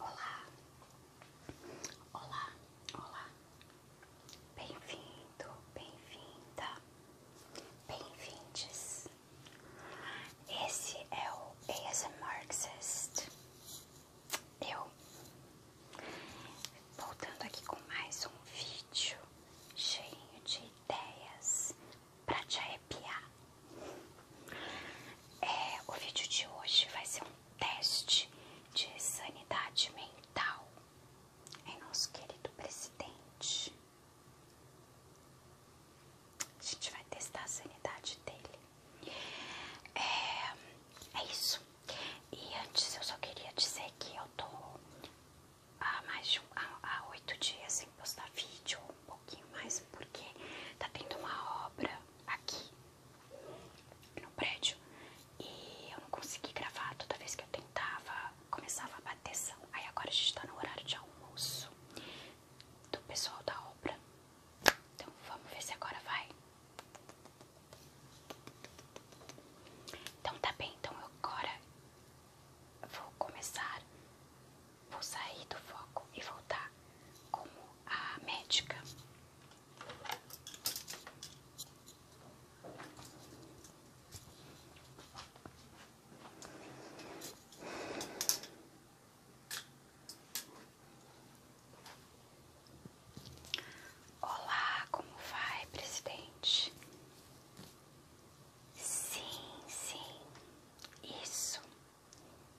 Olá, olá, olá, bem-vindo, bem-vinda, bem-vindes. Esse é o ASMR Exist. Eu voltando aqui com mais um vídeo cheio de ideias para te arrepiar. É, o vídeo de hoje vai ser um teste de sanidade mental em nosso querido presidente. A gente vai testar a sanidade dele. É, é isso. E antes eu só queria dizer que eu tô há mais de um, há, oito dias em postar vídeo um pouquinho mais, porque tá tendo uma obra aqui no prédio e eu não consegui gravar toda vez que eu tentava, começava a bateção. Aí agora a gente tá no horário de almoço do pessoal da obra. Então vamos ver se agora vai. Então tá bem, então agora vou começar vou sair do foco e voltar como a médica. Olá, como vai, presidente? Sim, sim, isso.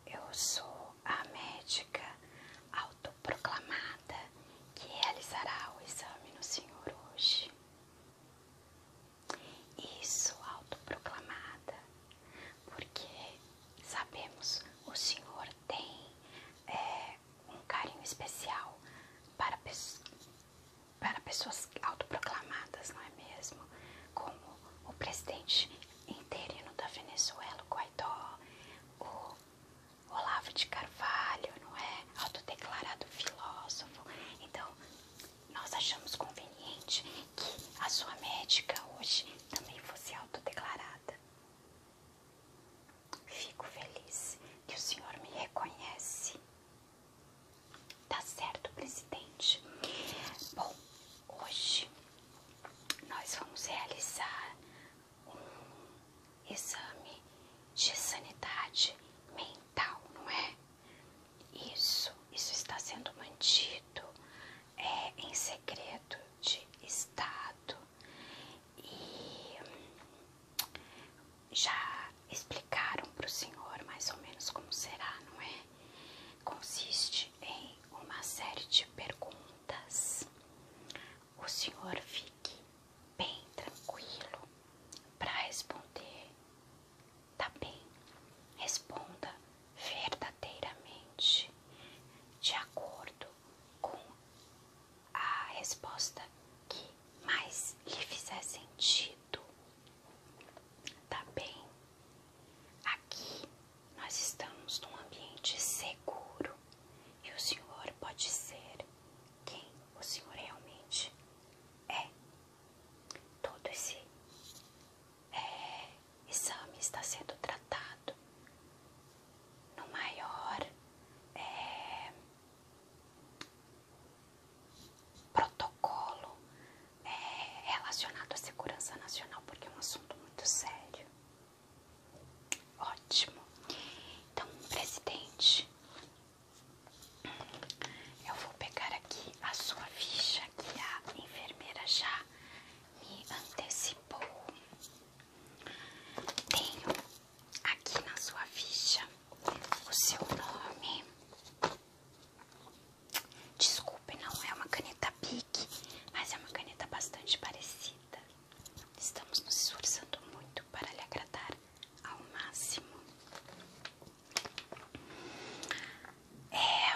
Eu sou a médica autoproclamada que realizará o exame no senhor hoje. Isso, autoproclamada, porque sabemos o senhor tem é, um carinho especial para, para pessoas autoproclamadas, não é mesmo? Como o presidente interino da Venezuela, o Guaidó, o Olavo de Carvalho, não é? Autodeclarado filósofo. Então, nós achamos conveniente que a sua médica hoje também fosse autodeclarada. Fico feliz que o senhor me reconhece. Tá certo, presidente. Bom, hoje nós vamos realizar um exame de sanidade mental, não é? Isso, isso está sendo mantido é, em segredo de Estado e já explicaram para o senhor mais ou menos como será, não é? consiste em uma série de perguntas. O senhor fique bem tranquilo para responder. Tá bem? Responda verdadeiramente, de acordo com a resposta que mais lhe fizer sentido, Tá bem? Aqui nós estamos num ambiente seguro e o senhor pode ser quem o senhor realmente é. Todo esse é, exame está sendo tratado no maior é, protocolo é relacionado à segurança nacional, porque é um assunto muito sério. Ótimo. Então, presidente, eu vou pegar aqui a sua ficha que a enfermeira já me antecipou. Tenho aqui na sua ficha o seu nome. Desculpe, não é uma caneta Bic, mas é uma caneta bastante parecida. Estamos nos esforçando muito para lhe agradar ao máximo. É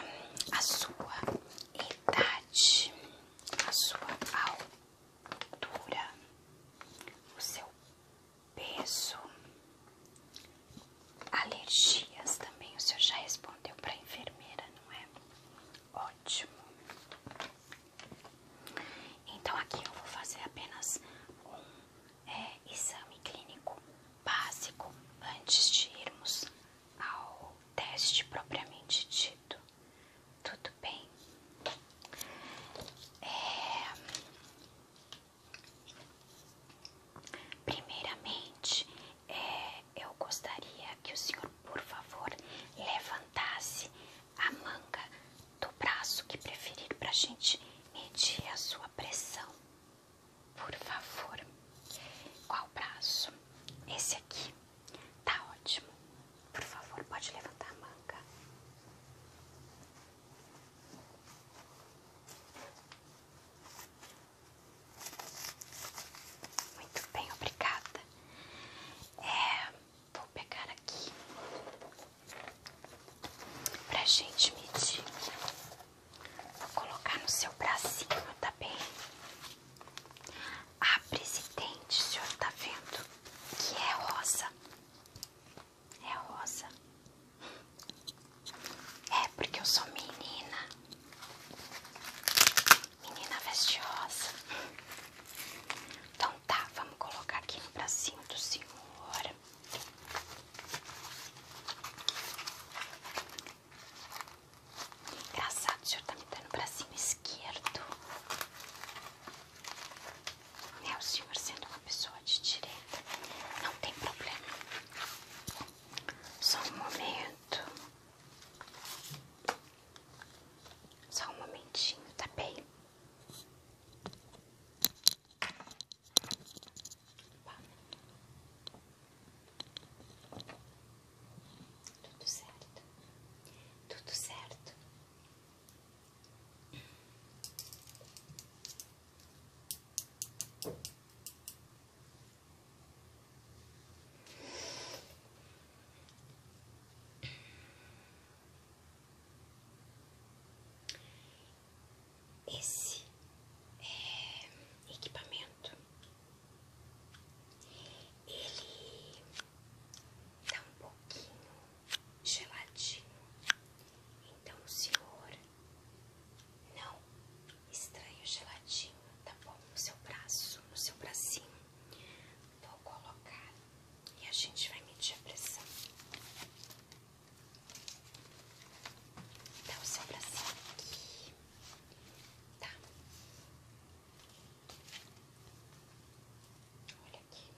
a sua idade, a sua altura, o seu peso, Alergias também, o senhor já respondeu para a enfermeira, não é? Ótimo. Então aqui eu vou fazer apenas um é, exame clínico básico antes de irmos ao teste propriamente dito. Tudo bem? É... Primeiramente, é, eu gostaria que o senhor, por favor, levantasse a manga do braço que preferir para a gente medir a sua pressão. Por favor, qual braço? Esse aqui. Tá ótimo. Por favor, pode levantar a manga. Muito bem, obrigada. É, vou pegar aqui pra gente medir. Vou colocar no seu bracinho, tá bem? A ah, presidente, o senhor está vendo que é rosa. É rosa. É porque eu sou menina. Menina vestiosa. Então tá, vamos colocar aqui no bracinho do senhor. Engraçado, o senhor tá me dando o bracinho esquerdo. É o senhor sendo uma pessoa de direita. Não tem problema. Só um momento. Só um momentinho, tá bem? Tudo certo, tudo certo. Esse é equipamento ele tá um pouquinho geladinho, então senhor não estranho geladinho, tá bom? No seu braço, no seu bracinho. Vou colocar e a gente vai medir a pressão. Dá o seu bracinho aqui. Tá? Olha aqui. Tá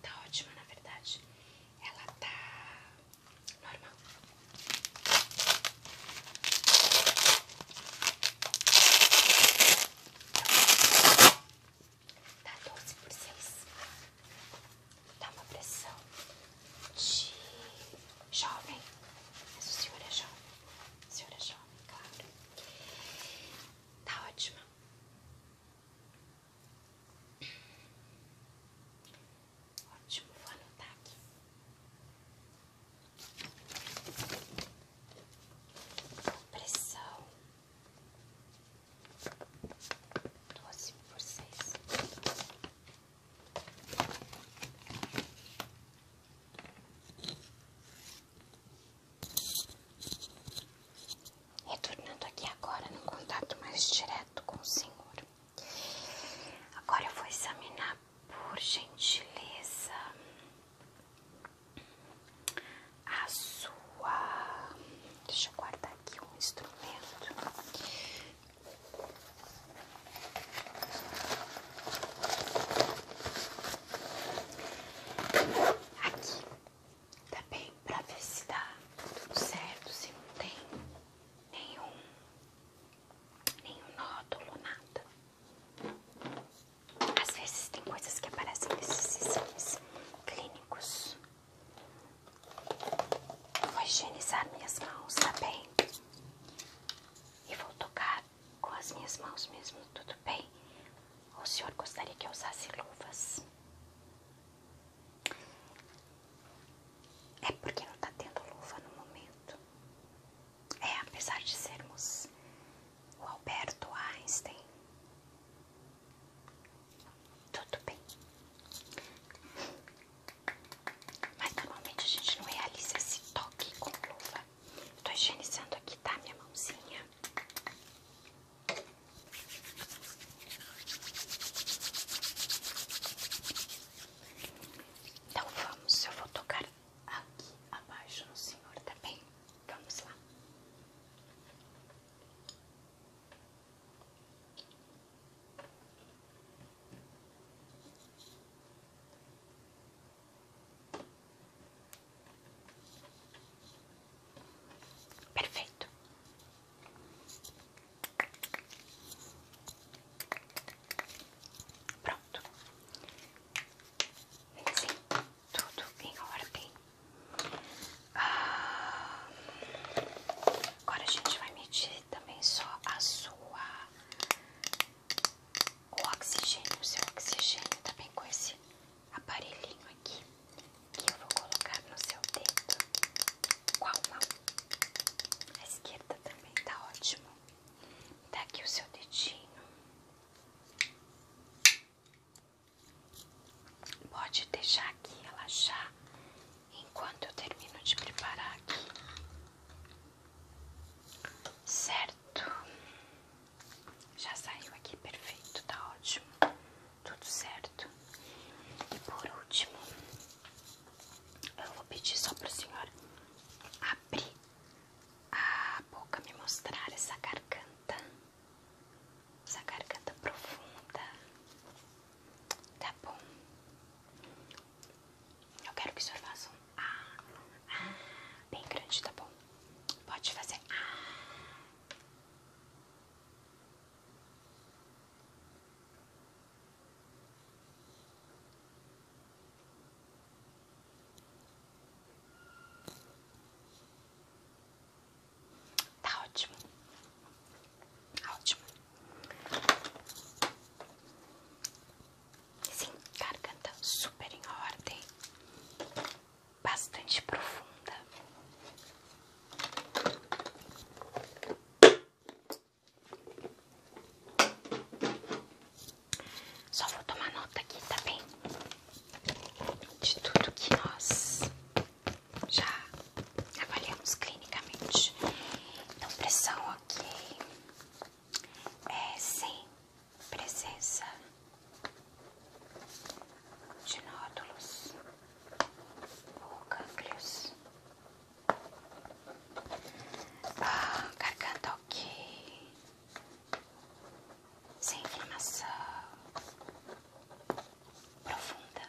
Tá ótima, na verdade. Ela tá normal. Tá doze por seis Tá uma pressão de jovem. Mas o senhor é jovem. O senhor é jovem, claro. Tá ótima. Ótimo, vou anotar aqui. Pressão doze por seis. Retornando aqui agora no contato mais direto com o Senhor. Agora eu vou examinar por gentileza a sua. Deixa eu guardar aqui um instrumento. Aqui tá bem? Pra ver se dá tudo certo, se não tem nenhum, nenhum nódulo, nada. Às vezes tem coisas que aparecem nesses exames clínicos. Vou higienizar minhas mãos, tá bem? E vou tocar com as minhas mãos mesmo, tudo bem? O senhor gostaria que eu usasse luvas? É porque não está tendo luva no momento. É, apesar de sermos o Alberto Einstein. Tudo bem. Mas normalmente a gente não realiza esse toque com luva. Estou higienizando aqui, tá? Minha mãozinha. Então vamos, eu vou tocar aqui abaixo no senhor, tá bem? Vamos lá. Perfeito. Pronto. Vem assim, tudo em ordem. Ah, agora a gente vai medir também só a sua. oxigênio, seu oxigênio também tá com esse aparelhinho aqui que eu vou colocar no seu dedo. Qual mão? A esquerda também tá ótimo. Tá aqui o seu dedinho. Pode deixar aqui relaxar enquanto eu termino de preparar aqui. Certo. Já saiu aqui, perfeito, tá ótimo, tudo certo. E por último, eu vou pedir só pro senhor abrir a boca, me mostrar essa garganta, essa garganta profunda. Tá bom. Eu quero que o senhor faça um ah, ah, bem grande, tá bom? Pode fazer ah. Tá ótimo, tá ótimo. Sim, garganta super em ordem bastante profunda. Só vou tomar nota aqui, tá bem? De tudo que nós já avaliamos clinicamente. Então, pressão aqui é sem presença de nódulos ou cânglios. Ah, garganta ok, sem inflamação profunda.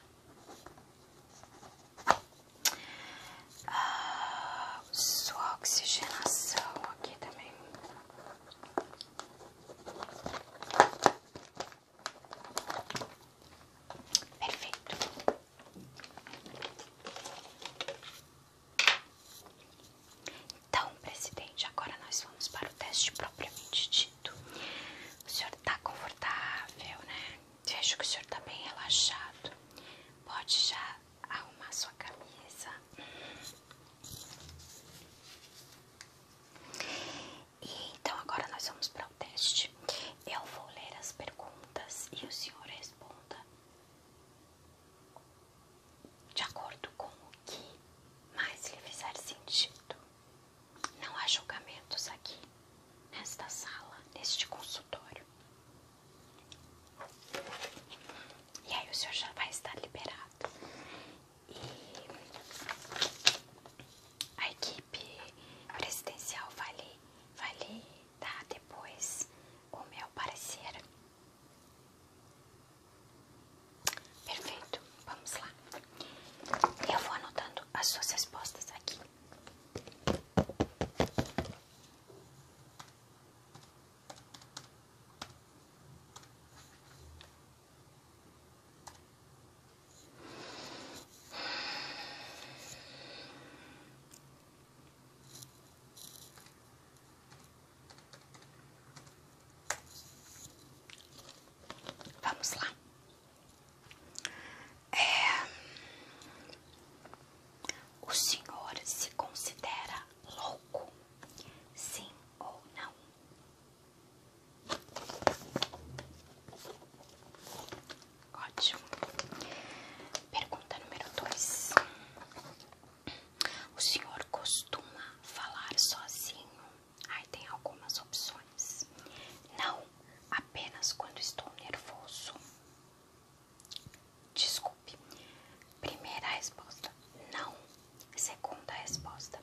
a ah, sua oxigenação aqui também. Perfeito. Então, presidente, agora nós vamos para o teste propriamente dito. O senhor está confortável, né? Vejo que o senhor está bem relaxado. Pode já arrumar sua camisa então agora nós vamos para o teste. Eu vou ler as perguntas e o senhor responda de acordo com o que mais lhe fizer sentido. Não há julgamentos aqui, nesta sala, neste consultório. E aí o senhor já vai estar liberado. E a equipe presidencial vai vale dar depois o meu parecer. Perfeito, vamos lá. Eu vou anotando as suas respostas aqui. Vamos lá. É... O senhor se considera louco? Sim ou não? Ótimo. Pergunta número 2. O senhor costuma falar sozinho? Aí tem algumas opções. Não, apenas quando estou nervoso. Desculpe. Primeira resposta: não, Segunda resposta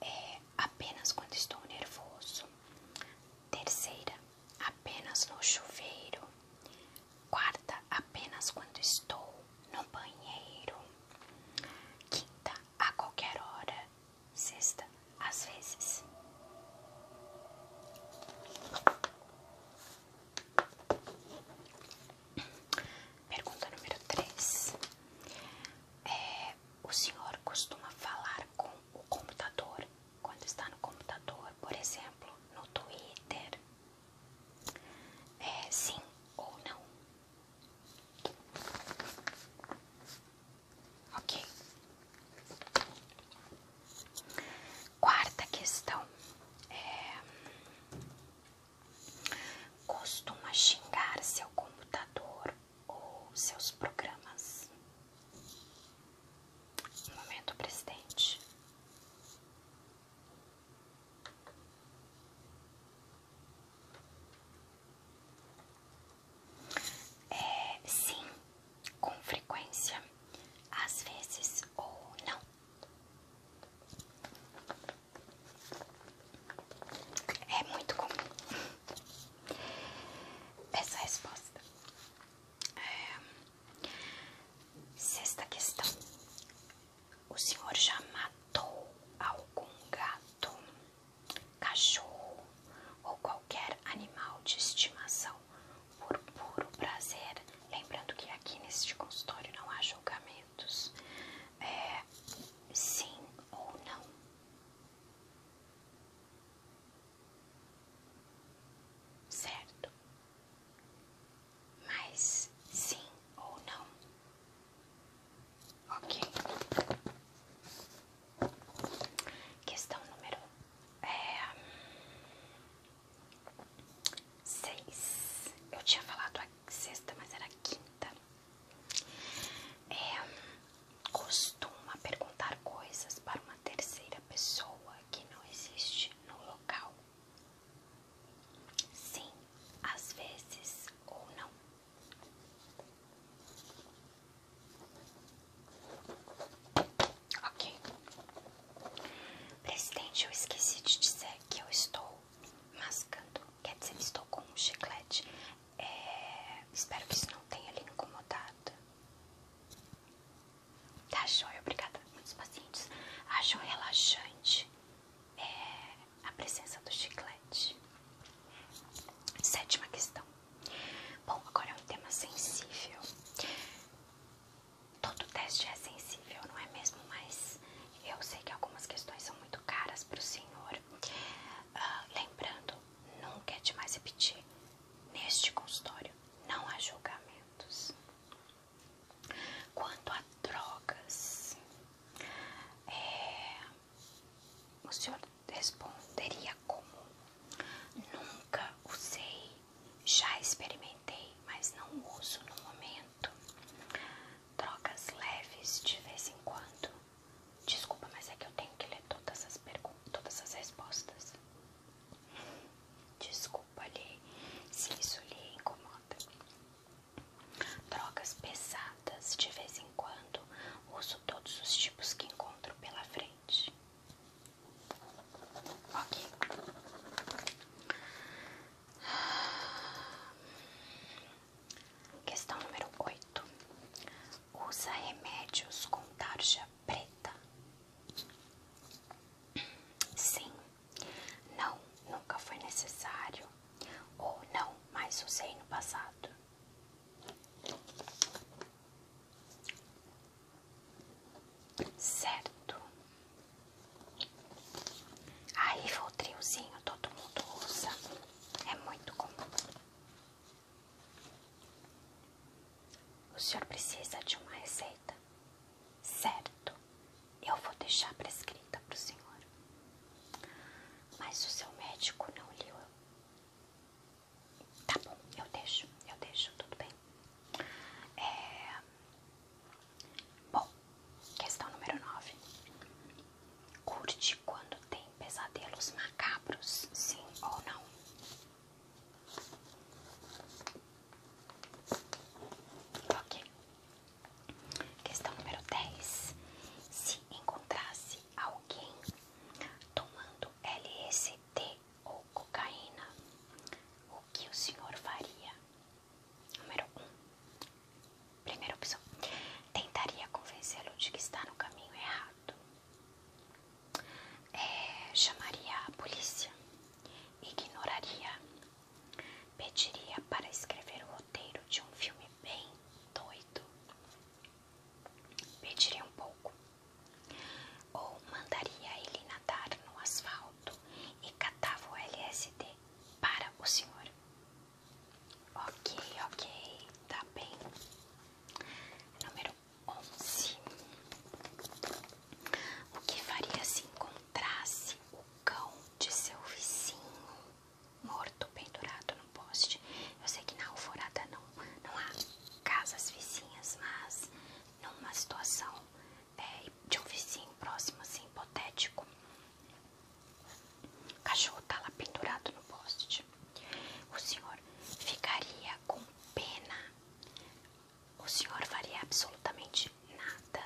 é apenas quando estou nervoso. Terceira, apenas no chuveiro. Quarta, apenas quando estou no banheiro. Quinta, a qualquer hora. Sexta, às vezes. Pergunta número 3. É, o senhor costuma falar com o computador quando está no computador, por exemplo, no Twitter? É, sim ou não? Ok. Quarta questão. É, Costuma xingar seu computador ou seus programas. momento, presidente. É, sim, com frequência, às vezes ou não. É muito comum essa resposta. É, sexta questão: O senhor já matou algum gato, cachorro ou qualquer animal de estimação por puro prazer? Lembrando que aqui neste consultório não há julgamentos é, sim ou não. Certo? Mas sim ou não? Ok. Questão número é, seis. Eu tinha falado a sexta, mas era quinta. É, costuma perguntar coisas para uma terceira pessoa que não existe no local. Sim, às vezes ou não. Ok. Presidente, eu esqueci de dizer que eu estou mascando Quer dizer, estou com um chiclete. É, espero que isso não tenha lhe incomodado. Tá joia, obrigada. Muitos pacientes acham relaxante é, a presença do chiclete. Sétima questão. Bom, agora é um tema sensível. Todo teste é sensível, não é mesmo? Mas eu sei que algumas questões são muito caras para o senhor. Ah, lembrando, nunca é demais repetir, neste consultório não há julgamentos. Quanto a drogas, é, o senhor responderia como nunca usei, já experimentei, mas não uso no momento. Trocas leves de vez em quando. Desculpa, mas é que eu tenho que ler todas as perguntas, todas as respostas. Desculpa ali se isso lhe incomoda. Drogas pesadas de vez em quando. Uso todos os tipos que encontro pela frente. Ok. Questão número 8. Usa remédios com tarja preta? Sim. Não, nunca foi necessário. Ou não, Mais usei no passado. Certo. Aí, foi o triozinho todo mundo usa. É muito comum. O senhor precisa de uma receita? Certo, eu vou deixar prescrita para o senhor. Mas o seu médico não leu. Tá bom, eu deixo, eu deixo, tudo bem. É... Bom, Questão número 9. Curte quando tem pesadelos macabros, sim ou não? Ok. Questão número 10. Se encontrasse alguém tomando LSD ou cocaína, o que o senhor faria? Número 1. Um. Primeira opção. Tentaria convencê-lo de que está no caminho errado. É, chamaria a polícia. Ignoraria. Pediria para escrever o roteiro de um filme bem doido. Pediria um pouco. Ou mandaria ele nadar no asfalto e catava o LSD para o senhor. Ok, ok, tá bem. Número 11. O que faria se encontrasse o cão de seu vizinho morto pendurado no poste? Eu sei que na alvorada não, não há casas vizinhas, mas numa situação é, de um vizinho próximo, assim, hipotético, o cachorro tá lá pendurado no poste. Tipo, o senhor ficaria com pena. O senhor faria absolutamente nada.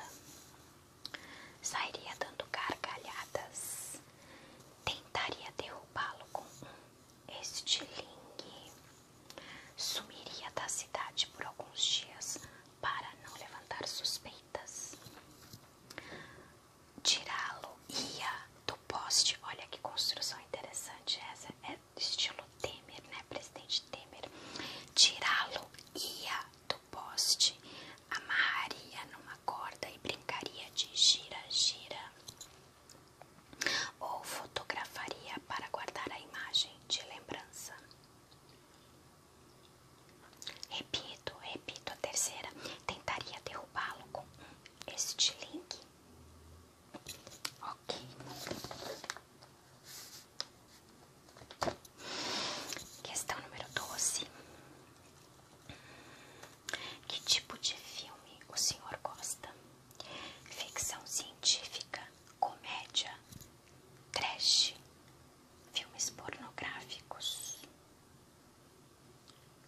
Sairia dando gargalhadas. Tentaria derrubá-lo com um estilingue. Sumiria da cidade por alguns dias para não levantar suspeitas tirá-lo ia do poste. Olha que construção interessante essa. É estilo Temer, né? Presidente Temer. Tirá-lo ia do poste, amarraria numa corda e brincaria de gira-gira. Ou fotografaria para guardar a imagem de lembrança. Repito, repito a terceira. Tentaria derrubá-lo com este link. Ok. Questão número 12. Que tipo de filme o senhor gosta? Ficção científica, comédia, trash, filmes pornográficos.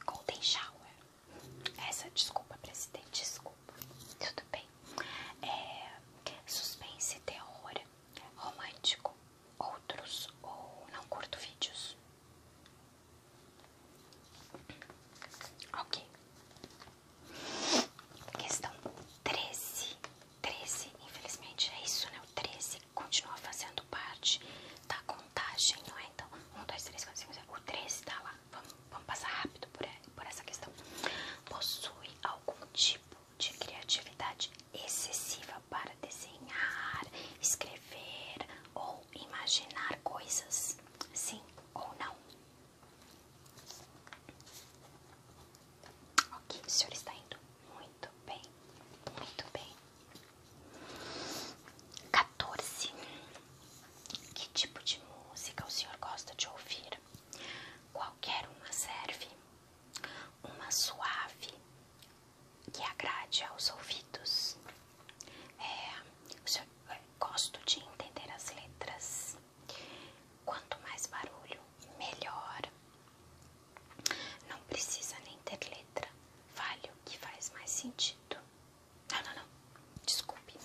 Golden Shower. Essa, desculpa, presidente, desculpa. Tudo bem. É, suspense, terror, romântico, outros ou não curto vídeos. Ok. Questão 13. 13, infelizmente é isso, né? O 13 continua fazendo parte da contagem, não é? Então, um dois três quatro cinco 6, o 13 está lá. Vamos, passar rápido é, por essa questão. Possui algum tipo de criatividade excessiva para desenhar, escrever ou imaginar coisas? Sim ou não? Ok, o senhor está indo muito bem, muito bem. 14. Que tipo de música o senhor gosta de ouvir? Qualquer uma serve. Uma suave que agrade aos ouvidos. É, eh, gosto de entender as letras. Quanto mais barulho, melhor. Não precisa nem ter letra. Vale o que faz mais sentido. Não, não, não. Desculpe.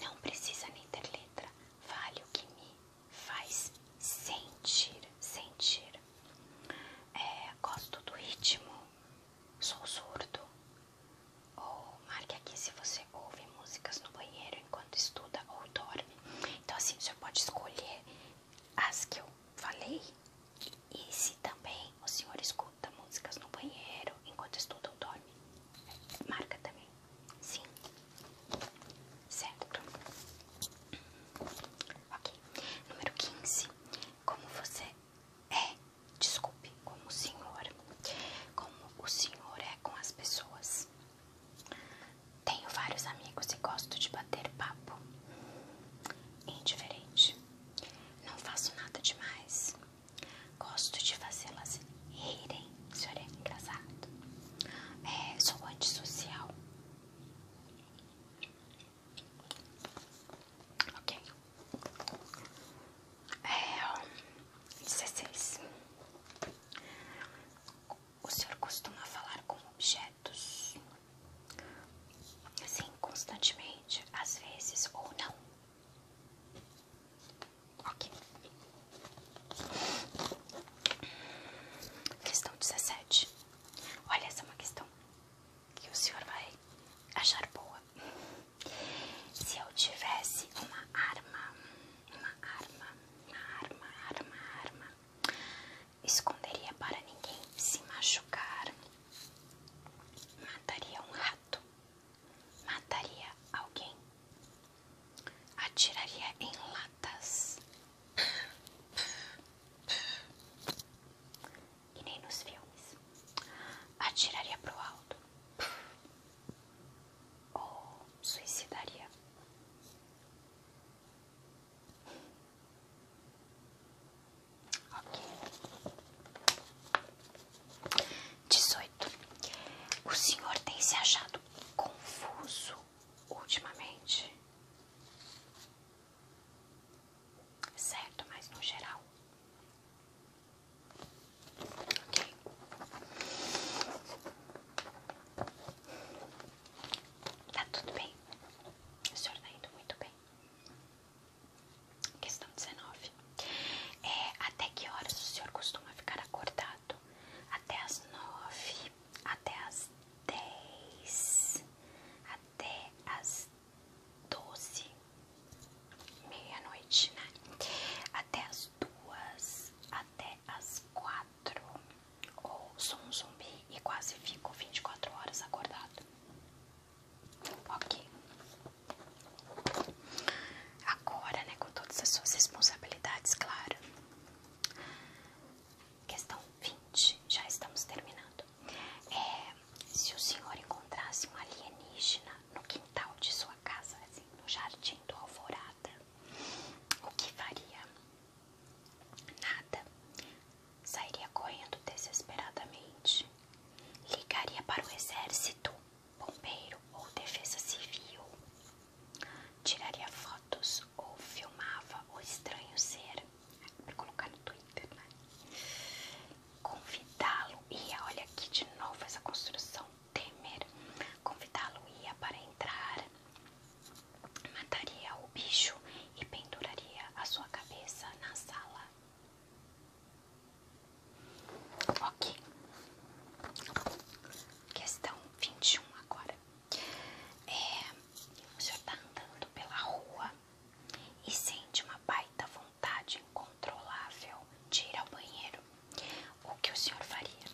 Não precisa nem ter letra. Vale o que me faz sentir. Sentir. É, gosto do ritmo. Sou surdo. Ou marque aqui se você ouve músicas no banheiro enquanto estuda ou dorme. Então, assim, você pode escolher as que eu falei. E se também o senhor escuta músicas no banheiro enquanto estuda ou dorme, marca também. Sim. Certo. Ok. Número 15. Como você é, desculpe, como o senhor, como o senhor é com as pessoas. Tenho vários amigos e gosto de bater papo indiferente. Não faço nada demais. Gosto de fazê-las rirem. O senhor é engraçado. É, sou antissocial. Ok. É, 16. O senhor costuma falar com objetos? sim constantemente, às vezes ou não. Ok. Questão 17. Olha, essa é uma questão que o senhor vai achar boa. Se eu tivesse uma arma, uma arma, uma arma, arma, arma, esconderia para ninguém se machucar, mataria um rato, mataria alguém, atiraria em latas e nem nos filmes, atiraria pro alto ou suicidaria. Dezoito. O senhor tem se achado confuso ultimamente? Certo, mas no geral. Ok. Tá tudo bem. O senhor tá indo muito bem. Questão 19. É, até que horas o senhor costuma ficar acordado? Até as nove, até as dez, até as doze, meia-noite, né? Até as duas, até as quatro. Ou sou um zumbi e quase fico 24 horas acordado. Ok. Agora, né, com todas as suas responsabilidades, claro. Questão 20. Já estamos terminando. É, se o senhor encontrasse um alienígena no quintal de sua casa, assim, no jardim do Alvorada, o que faria? Nada. Sairia correndo desesperadamente. Ligaria para o exército, bombeiro ou defesa civil. Tiraria fotos ou filmava o estranho ser. Para colocar no Twitter, né? Convidá-lo ia, olha aqui de novo essa construção Temer. Convidá-lo ia para entrar Mataria o bicho e penduraria a sua cabeça na sala. Ok. Questão 21 agora. É, o senhor está andando pela rua e sente uma baita vontade incontrolável de ir ao banheiro. O que o senhor faria?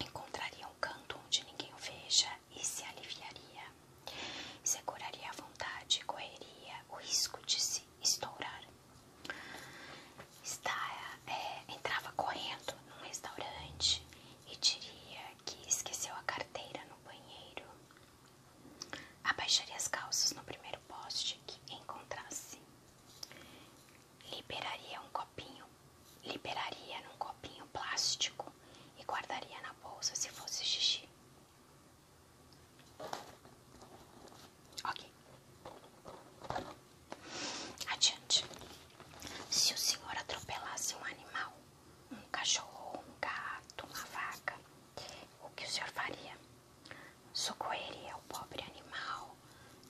Encontraria um canto onde ninguém o veja e se aliviaria. se curaria à vontade e correria o risco de se estourar. É, entrava correndo num restaurante e diria que esqueceu a carteira no banheiro. Abaixaria as calças no primeiro poste que encontrasse. Liberaria um copinho, liberaria num copinho plástico e guardaria na bolsa se fosse xixi. Ok. Adiante. Se o senhor atropelasse um animal, um cachorro, um gato, uma vaca, o que o senhor faria? Socorreria o pobre animal,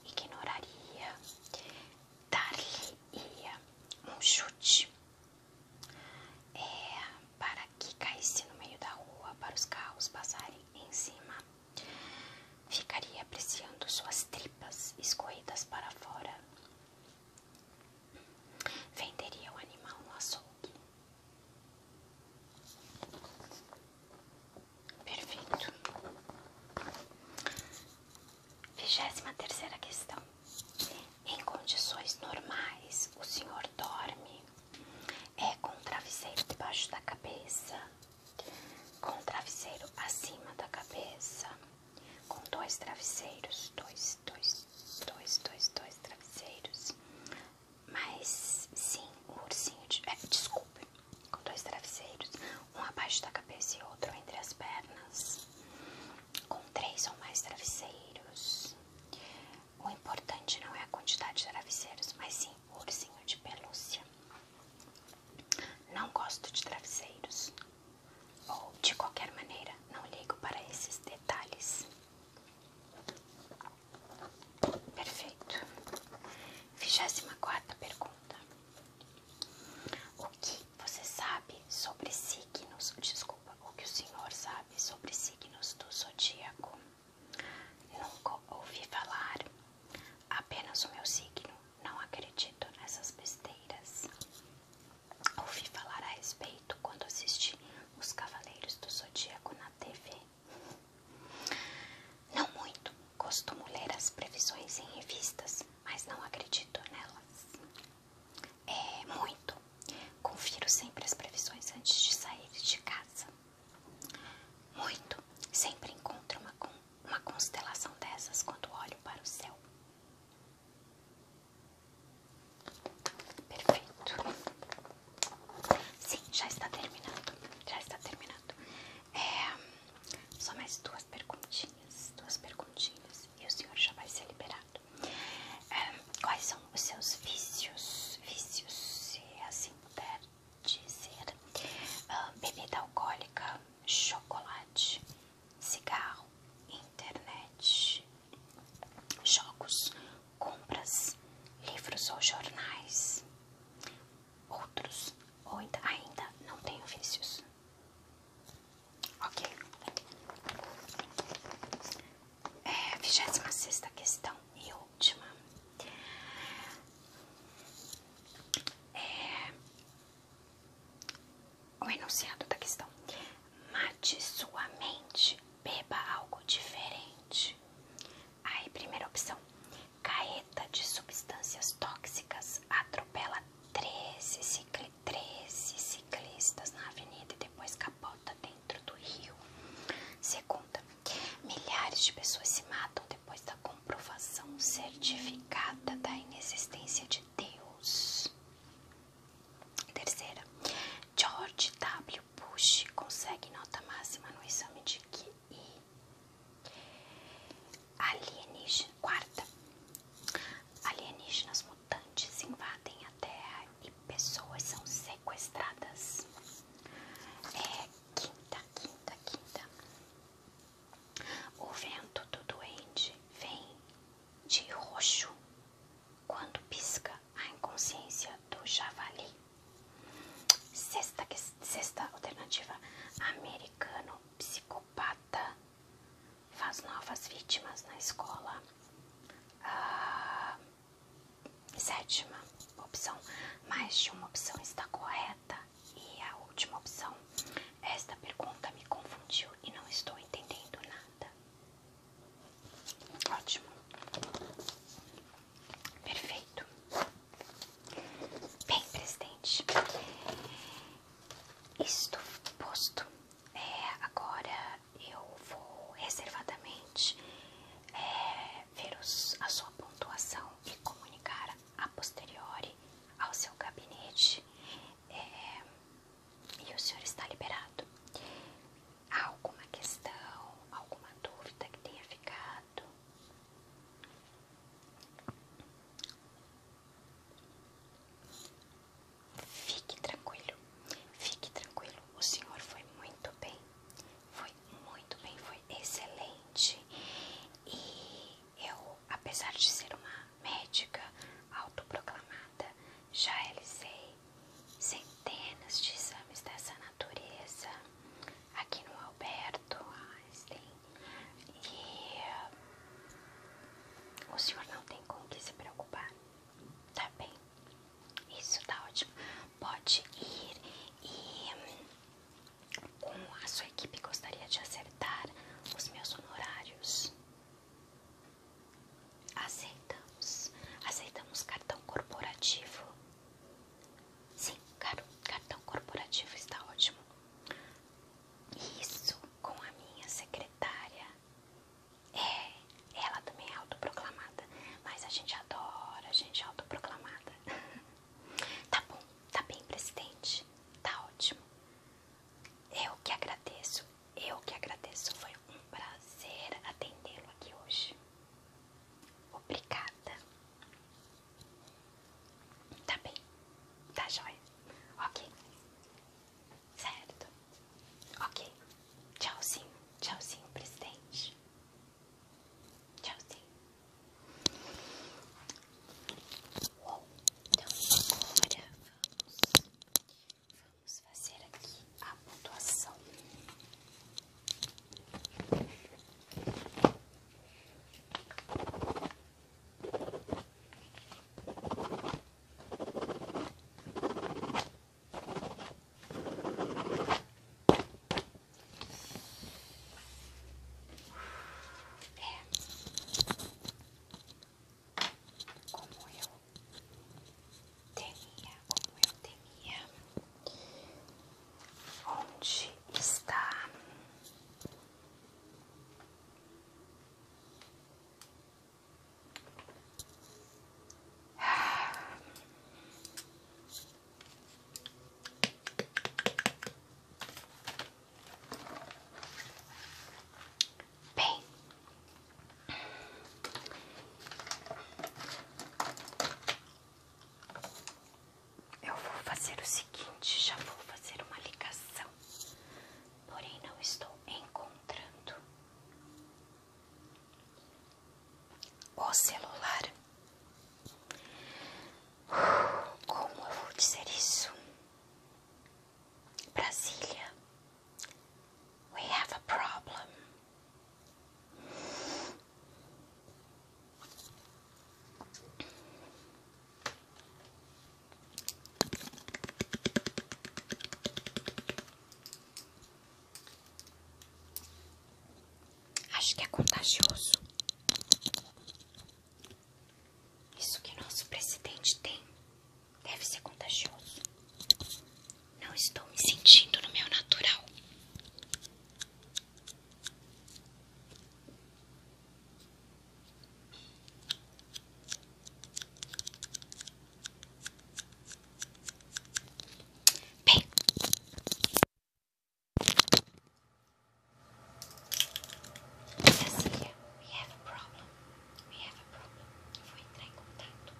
ignoraria, dar-lhe-ia um chute, é, para que caísse no meio da rua para os carros passarem em cima. Ficaria apreciando suas tripas escorridas para fora. Venderia o animal no açougue. Perfeito. Vigésima terceira questão. Em condições normais, o senhor dorme é com o travesseiro debaixo da cabeça, com o travesseiro acima da cabeça, com dois travesseiros, dois, dois, dois, dois, dois travesseiros. Mas sim, um ursinho é, desculpe, com dois travesseiros, um abaixo da cabeça e outro entre as pernas com três ou mais travesseiros. O importante não é a quantidade de travesseiros, mas sim o ursinho de pelúcia. Não gosto de travesseiros. Ou, de qualquer maneira, não ligo para esses detalhes. Perfeito. 24 pergunta. O que você sabe sobre si? signos, o que o senhor sabe sobre signos do zodíaco? Nunca ouvi falar. Apenas o meu signo. Não acredito nessas besteiras. Ouvi falar a respeito quando assisti Os Cavaleiros do Zodíaco na TV. Não muito. Costumo ler as previsões em revistas, mas não acredito nelas. É, muito. Confiro sempre as previsões antes de sair de casa. Muito. Sempre encontro uma, uma constelação dessas quando olho para o céu. Perfeito. Sim, já está terminando. Já está terminando. É, só mais duas perguntinhas. Duas perguntinhas e o senhor já vai ser liberado. É, quais são os seus vícios? Vícios, se assim puder dizer: ah, bebida alcoólica, chocolate, cigarro, internet, jogos, compras, livros ou jornais, outros, ou ainda não tenho vícios. Ok. É, 26 questão e última. É, o enunciado da questão. Mate sua mente, beba algo diferente. Aí, primeira opção. Carreta de substâncias tóxicas atropela treze cicli 13 ciclistas na avenida e depois capota dentro do rio. Segunda, milhares de pessoas se matam depois da comprovação certificada da inexistência de Deus. Terceira, George W. Bush consegue nota máxima no exame de QI. Alienígena. Quarta, alienígenas mudaram mutantes invadem a Terra e pessoas são sequestradas. É quinta, quinta, quinta. O vento do doente vem de roxo quando pisca a inconsciência do javali. Sexta, sexta alternativa: americano psicopata faz novas vítimas na escola. Ah, sétima opção, mais de uma opção está correta. E a última opção, esta pergunta me confundiu e não estou entendendo nada. Ótimo. Perfeito. Bem, presidente, isto posto, é, agora eu vou reservadamente é, ver a sua pontuação e comunicar a posteriori ao seu gabinete é, e o senhor está liberado. Há alguma questão, alguma dúvida que tenha ficado? Fique tranquilo, fique tranquilo. O senhor foi muito bem, foi muito bem, foi excelente. E eu, apesar de ser uma médica autoproclamada, já realizei centenas de exames dessa natureza aqui no Alberto Einstein. E o senhor não tem com o que se preocupar. Tá bem. Isso tá ótimo. Pode ir e hum, a sua equipe gostaria de acertar os meus honorários. Aceitamos. Aceitamos cartão corporativo. Sim, caro, cartão corporativo está ótimo. Isso com a minha secretária. É, ela também é autoproclamada, mas a gente adora a gente é autoproclamada. tá bom, tá bem, presidente, tá ótimo. Eu que agradeço, eu que agradeço, foi um prazer atendê-lo aqui hoje. Obrigada. Tá bem, tá jóia. Ok, Certo? Ok. Tchauzinho, tchauzinho, presidente. Tchauzinho. Uou. Então agora vamos, vamos fazer aqui a pontuação. É. Como eu temia, como eu temia. Onde está? Bem, eu vou fazer o seguinte: já vou fazer uma ligação porém não estou encontrando. O celular. Como eu vou dizer isso? Brasília. We have a problem. Acho que é contagioso. Isso que nosso presidente tem deve ser contagioso. Não estou me sentindo no meu natural. Bem. Cecília, we have a problem. We have a problem. vou entrar em contato.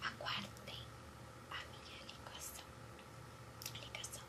Aguardem a minha ligação. ligação.